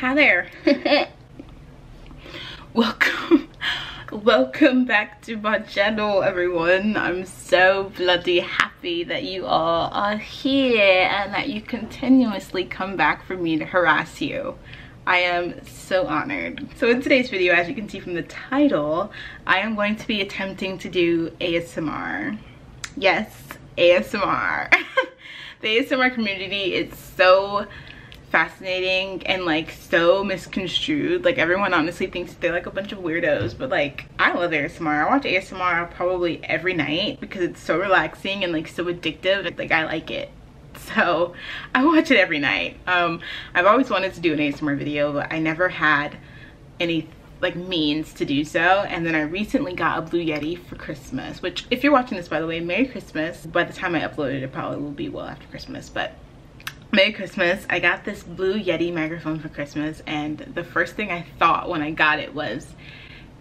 Hi there. welcome. Welcome back to my channel everyone. I'm so bloody happy that you all are here and that you continuously come back for me to harass you. I am so honored. So in today's video, as you can see from the title, I am going to be attempting to do ASMR. Yes, ASMR. the ASMR community is so fascinating and like so misconstrued like everyone honestly thinks they're like a bunch of weirdos but like I love ASMR I watch ASMR probably every night because it's so relaxing and like so addictive like I like it so I watch it every night um I've always wanted to do an ASMR video but I never had any like means to do so and then I recently got a Blue Yeti for Christmas which if you're watching this, by the way, Merry Christmas. By the time I uploaded, it, probably will be well after Christmas, but Merry Christmas. I got this Blue Yeti microphone for Christmas, and the first thing I thought when I got it was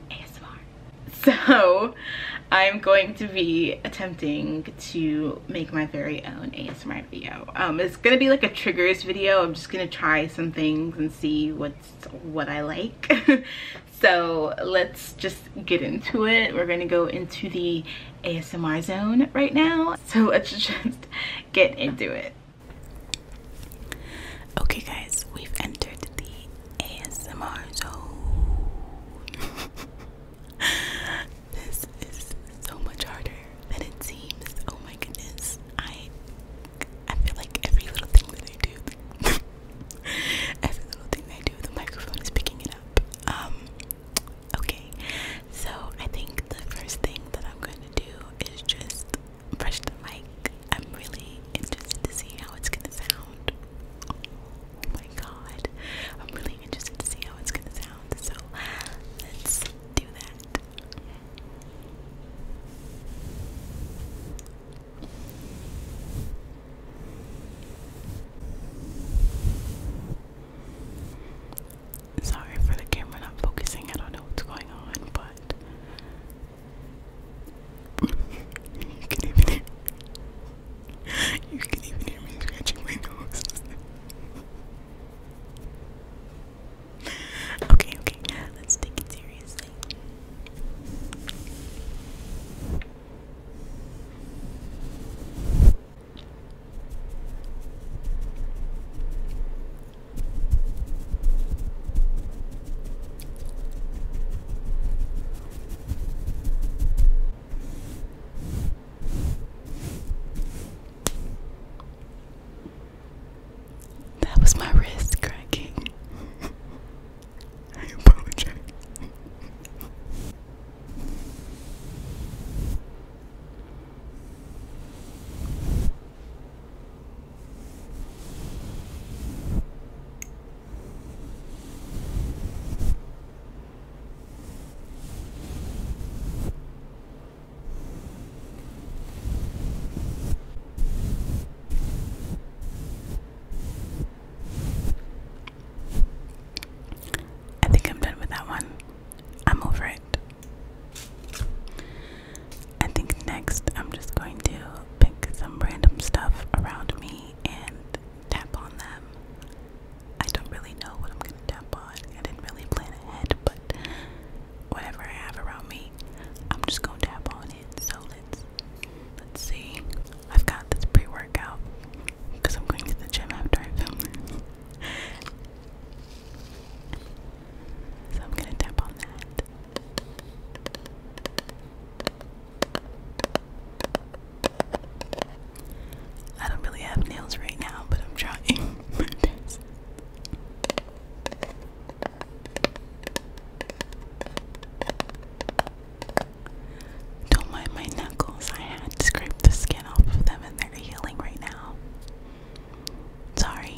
ASMR. So I'm going to be attempting to make my very own ASMR video. Um, it's gonna be like a triggers video. I'm just gonna try some things and see what's what I like. So let's just get into it. We're gonna go into the ASMR zone right now. So let's just get into it. Okay guys, we've entered the ASMR zone. this is so much harder than it seems. Oh my goodness. I I feel like every little thing that I do Every little thing I do, the microphone is picking it up. Um, okay, so I think the first thing that I'm going to do is just brush the mic. I'm really interested to see how it's going to sound. Oh my god, I'm really interested to see how it's going to sound. So let's do that. Sorry for the camera not focusing, I don't know what's going on, but you can even hear even hear me scratching my nose. okay, okay, let's take it seriously. That was my wrist cracking. I apologize. I think I'm done with that one. I'm over it. I think next I'm just going to pick some random stuff around me and tap on them. I don't really know what I'm going to tap on. I didn't really plan ahead, but whatever I have around me, I'm just going to tap on it. So let's see. I've got this pre-workout because I'm going to the gym after I film so I'm gonna tap on that. I don't really have nails right now, but I'm trying Don't mind my knuckles. I had to scrape the skin off of them and they're healing right now. Sorry.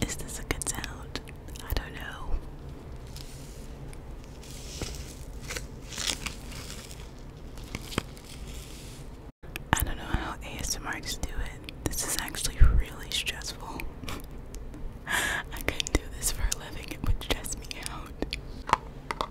Is this a good sound? I don't know. I don't know how ASMRs do it. This is actually really stressful. I couldn't do this for a living, it would stress me out.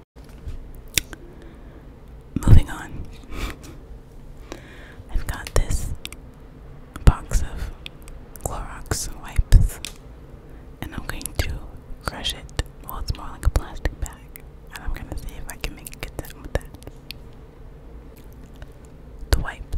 Moving on. I've got this box of Clorox wipes, and I'm going to crush it. Well, it's more like a plastic bag, and I'm going to see if I can make it get done with that. The wipes.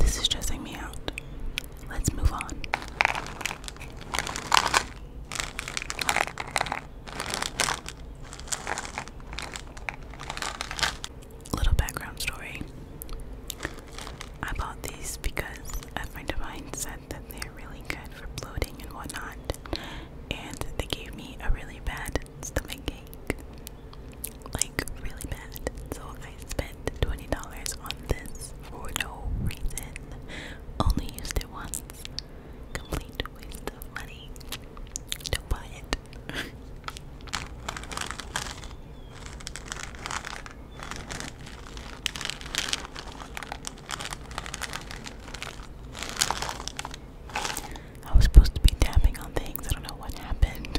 This is stressing me out. Let's move on. Little background story. I bought these because a friend said that they're really good for bloating and whatnot. And they gave me a really bad stomach ache. Like really bad. So I spent $20 on this for no reason. Only used it once. Complete waste of money. do buy it. I was supposed to be tapping on things. I don't know what happened.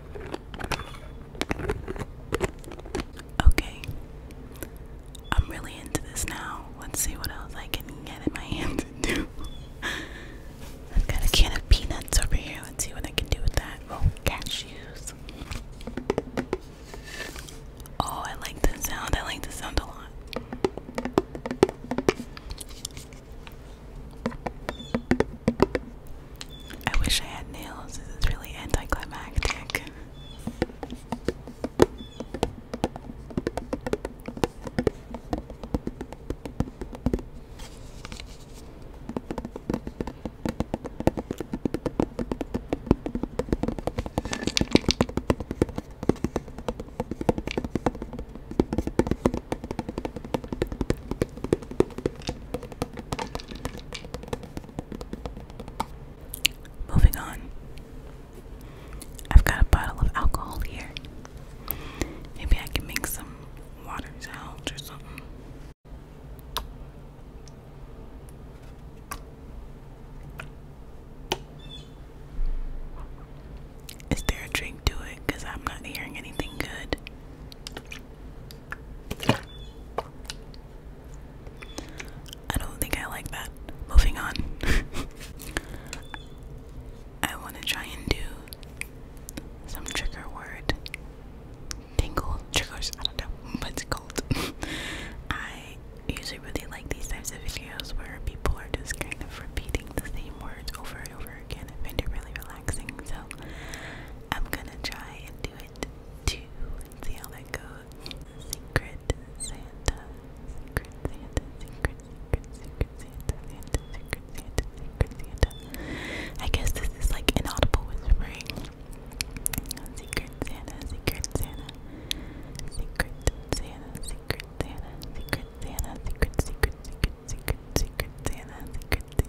Okay. I'm really into this now. Let's see what else I can get in my hands to do. I've got a can of peanuts over here. Let's see what I can do with that. Oh, cashews. Oh, I like the sound. I like the sound a lot. I wish I had nails. This is really anticlimactic. Moving on. I've got a bottle of alcohol here. Maybe I can make some water out or something. Is there a drink to it? Because I'm not hearing anything good. I don't think I like that. Moving on. I want to try and do some trigger word. Tingle triggers. I don't know what it's called. I usually really like these types of videos where people are just kind of repeating the same words over and over again. I find it really relaxing. So I'm gonna try and do it. Secret 2. Let's see how that goes. Secret Santa. Secret Santa. Secret, secret, secret Santa. Santa, secret Santa. Secret Santa. I guess this is like inaudible whispering. Secret Santa. Secret Santa. Secret Santa. Secret Santa. Secret Santa. Secret, secret, secret, secret, secret Santa. Secret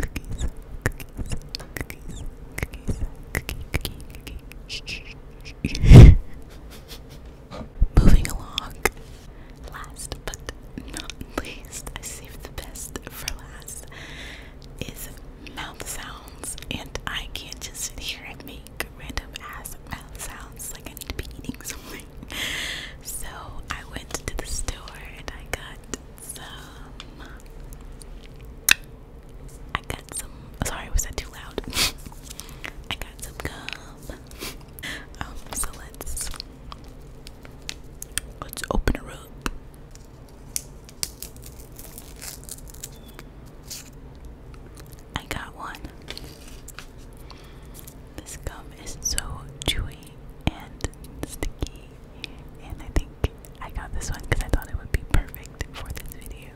cookies, cookies, cookies, cookies, cookie, cookie, cookie. Shh, shh, Moving along. Last but not least, I saved the best for last. Is mouth sounds, and I can't just sit here and make random ass mouth sounds like I need to be eating something. So I went to the store and I got some. I got some. Sorry, was that too loud? I got some gum. Um, so let's let's open her up. I got one. This gum is so chewy and sticky. And I think I got this one because I thought it would be perfect for this video.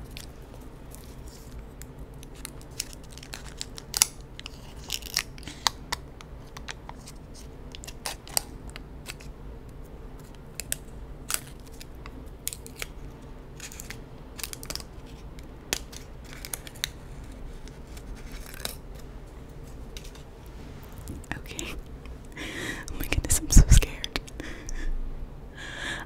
Okay. oh my goodness, I'm so scared.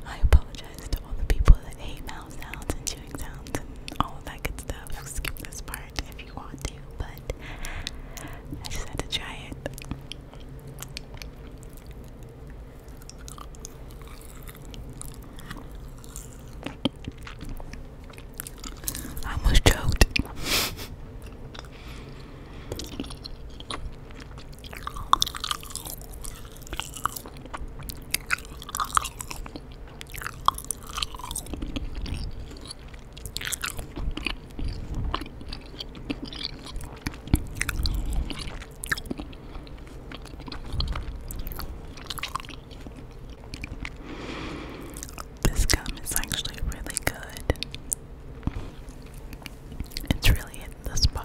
I apologize to all the people that hate mouth sounds and chewing sounds and all that good stuff. Skip this part if you want to, but I just had to try it. I almost choked. This gum is actually really good. It's really in the spot.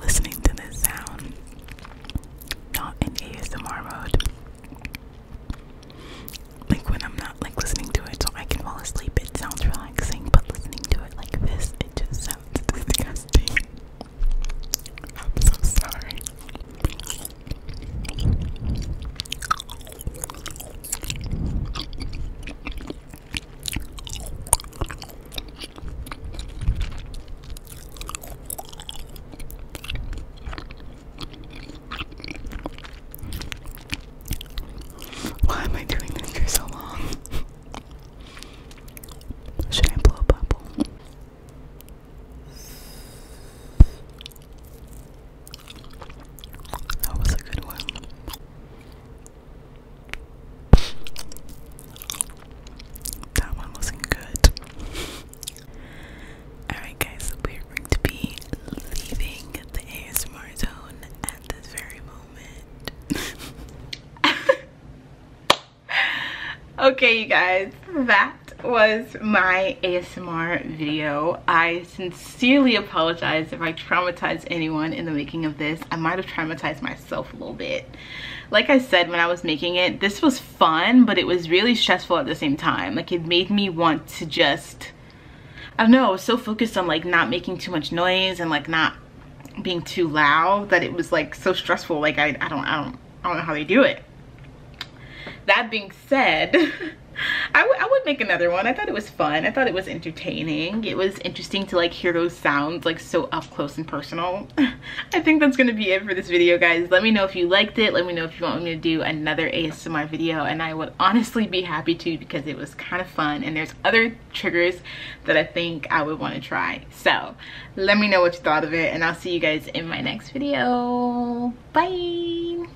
Listening to this sound, not in ASMR mode, like when I'm not like listening to it so I can fall asleep, it sounds relaxing, but listening to it like this, it just sounds disgusting. I'm so sorry. Why am I doing this for so long? Should I blow a bubble? That was a good one. That one wasn't good. Alright, guys, we're going to be leaving the ASMR zone at this very moment. okay, you guys, that was my ASMR video. I sincerely apologize if I traumatized anyone in the making of this. I might have traumatized myself a little bit. Like I said when I was making it, this was fun, but it was really stressful at the same time. Like it made me want to just, I don't know, I was so focused on like not making too much noise and like not being too loud that it was like so stressful. Like I, don't, I don't, I don't know how they do it. That being said, I would make another one. I thought it was fun. I thought it was entertaining. It was interesting to like hear those sounds like so up close and personal. I think that's gonna be it for this video guys. Let me know if you liked it. Let me know if you want me to do another ASMR video and I would honestly be happy to because it was kind of fun and there's other triggers that I think I would want to try. So let me know what you thought of it and I'll see you guys in my next video. Bye!